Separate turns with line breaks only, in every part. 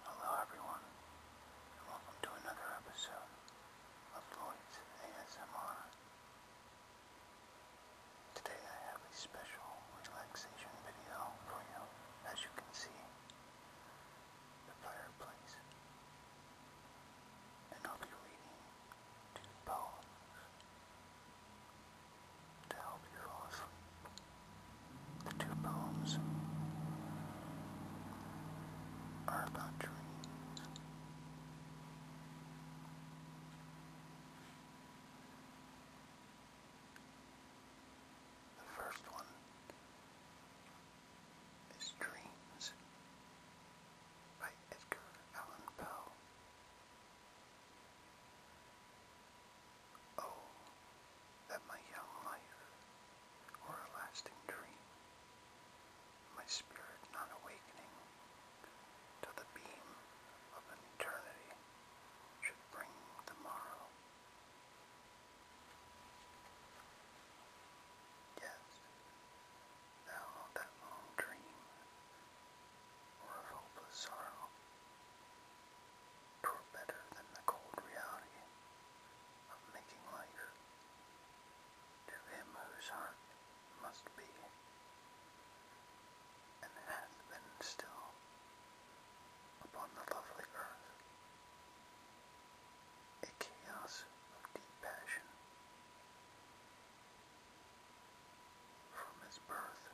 Hello everyone, and welcome to another episode of Lloyd's ASMR. Today I have a special relaxation video for you, as you can see, the fireplace. And I'll be reading two poems to help you off the two poems are about dreams the first one is Dreams by Edgar Allan Poe. Oh, that my young life were a lasting dream, my spirit not awakening till the beam of eternity should bring the Yes, thou that long dream, or of hopeless sorrow, taught better than the cold reality of making life. To him whose heart must be, and hath been still, upon the lovely earth, a chaos of deep passion from his birth.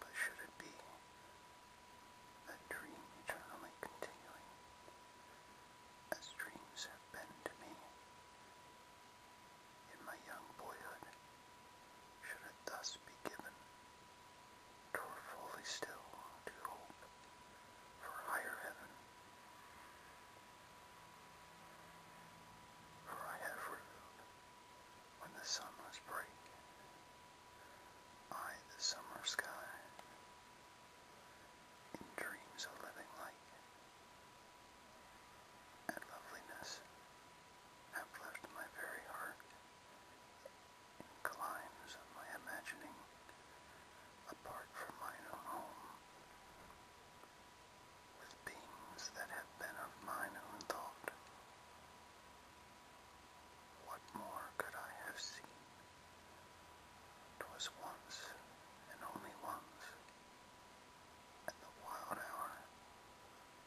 But should it be that dream eternally continuing, as dreams have been to me in my young boyhood, should it thus be given, tore fully still to hope for higher heaven? For I have revealed when the sun was break, I the summer sky, in dreams of living like, and loveliness have left my very heart, in my imagining, apart from mine own home with beings that have been of mine own thought. What more could I have seen? 'Twas once, and only once, and the wild hour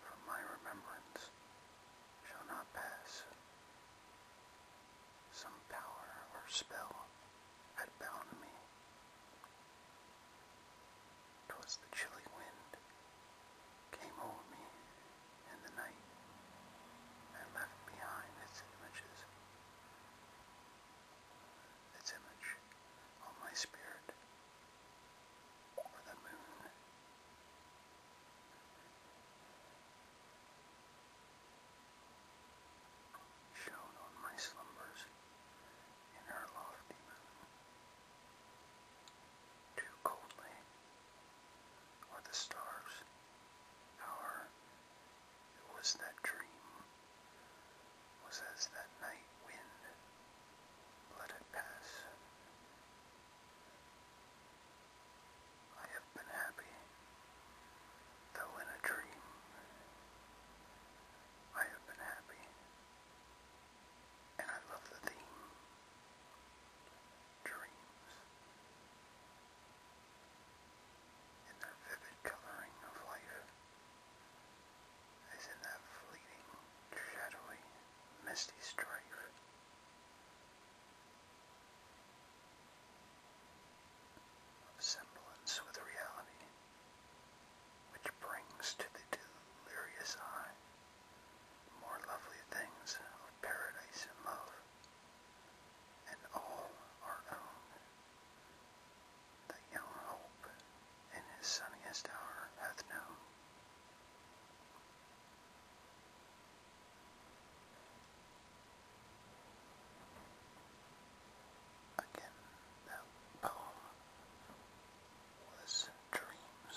from my remembrance shall not pass. Some power or spell had bound me Twas the chilly wind came over me in the night and left behind its images, its image on my spirit, or the moon. Shone on my slumbers in her lofty moon. Too coldly are the stars. Our was that dream, was as that night wind. Let it pass. I have been happy, though in a dream. I have been happy, and I love the theme dreams and their vivid coloring of life as in that fleeting, shadowy, misty strife. Of semblance with reality which brings to the delirious eye more lovely things of paradise and love, and all our own. The young hope in his sunniest hour hath known. Again, that poem was Dreams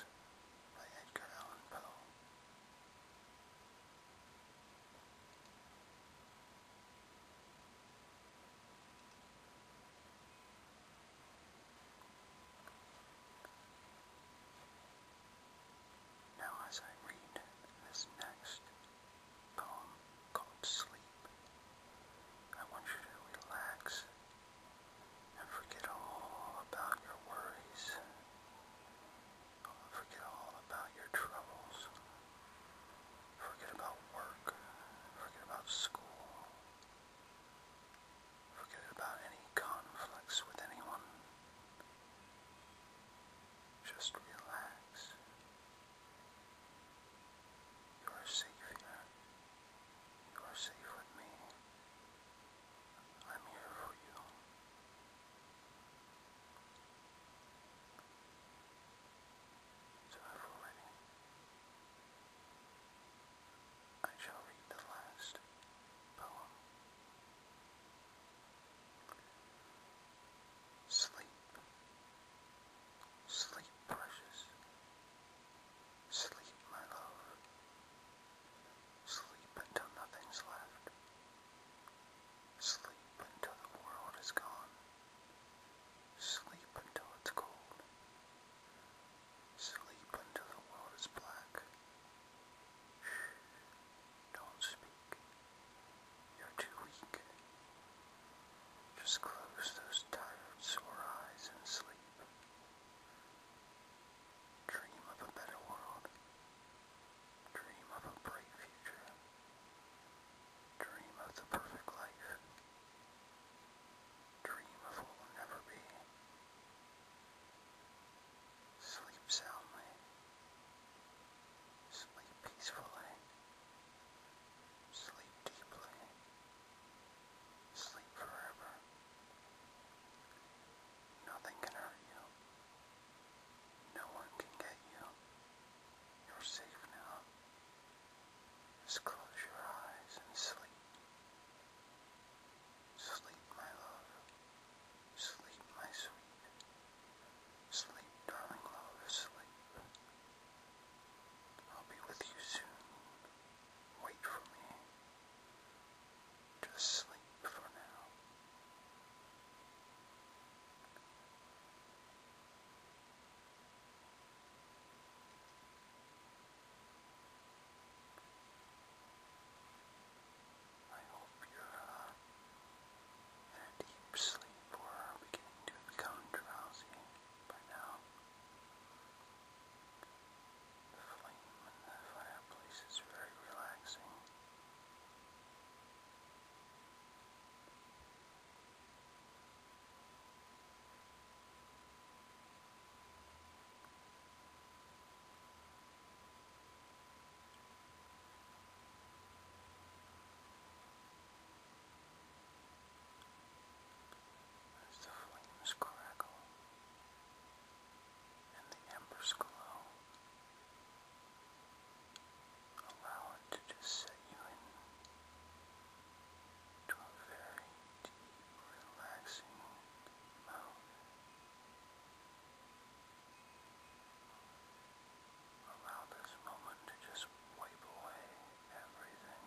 by Edgar Allan Poe. Now, as I read this next poem called Sleep, I want you to relax and forget all about your worries. Forget all about your troubles. Forget about work. Forget about school. Forget about any conflicts with anyone. Just relax. You are safe here. You are safe with me. I'm here for you. So if we ready, I shall read the last poem. Sleep, sleep, precious, Sleep, my love. Sleep until nothing's left. Sleep until the world is gone. Sleep until it's cold. Sleep until the world is black. Shh. Don't speak. You're too weak. Just close those tired, sore eyes and sleep. Dream of a better world. Dream of a bright future. Dream of the perfect life. Dream of what will never be. Sleep soundly. Sleep peacefully. Sleep deeply. Sleep forever. Nothing can hurt you. No one can get you. You're safe now. Just close your eyes and sleep. Sleep, my love. Sleep, my sweet. Sleep, darling love, sleep. I'll be with you soon wait for me. Just sleep for now. I hope you're uh, in deep sleep or beginning to become drowsy by now. The flame in the fireplace is very relaxing as the flames crackle and the embers glow. Allow it to just set you in a very deep, relaxing mode. Allow this moment to just wipe away everything.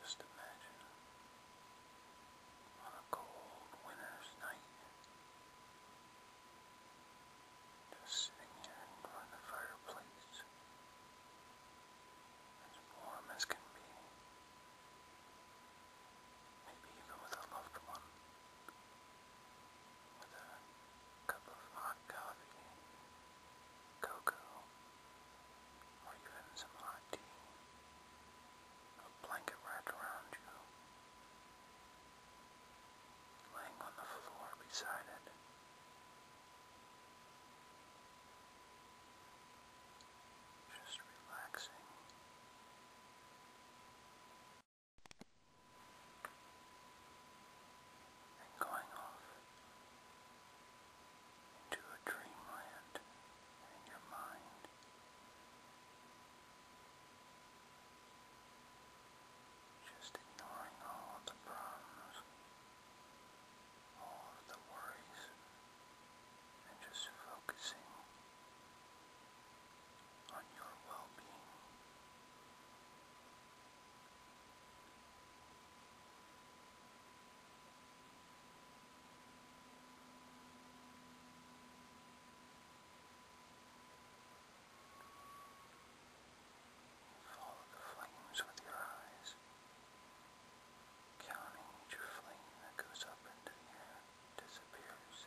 Just imagine on a cold winter's night just sitting here in front of the fireplace as warm as can be. Maybe even with a loved one with a cup of hot coffee, cocoa, or even some hot tea, a blanket wrapped around you, laying on the floor beside it. Just relaxing and going off into a dreamland in your mind. Just ignoring all the problems, all of the worries, and just focusing on your Follow the flames with your eyes, counting each flame that goes up into the air, disappears,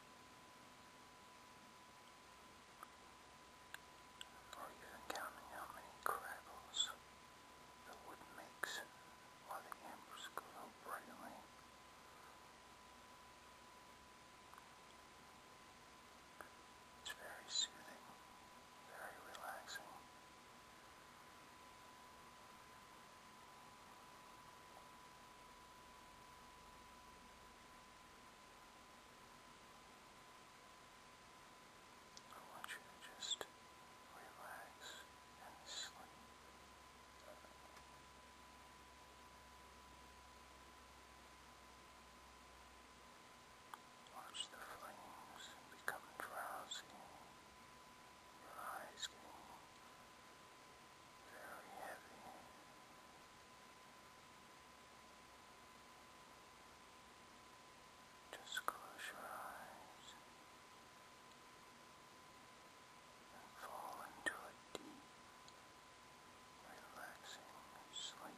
Or you counting how many crackles the wood makes while the embers glow brightly. It's very soothing, very relaxing. I want you to just relax and sleep. Watch the flames become drowsy your eyes very heavy. Just close your eyes and fall into a deep, relaxing sleep.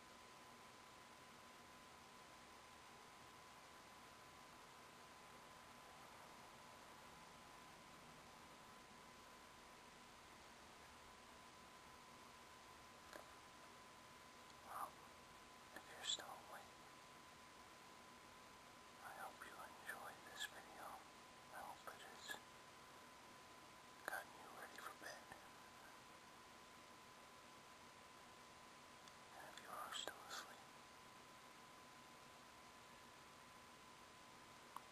Well, if you're still awake, I hope you enjoyed this video. I hope it has you ready for bed. And if you are still asleep,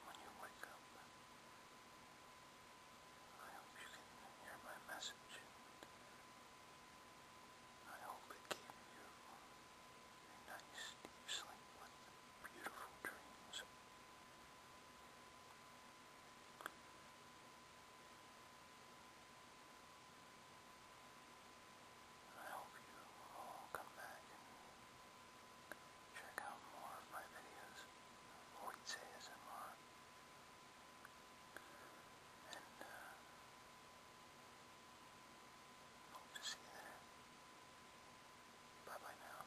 when you wake up, I hope you can hear my message. I hope it gave you a nice deep sleep with beautiful dreams. I hope you all come back check out more of my videos, Voids ASMR, and uh, hope to see you there. Bye bye now.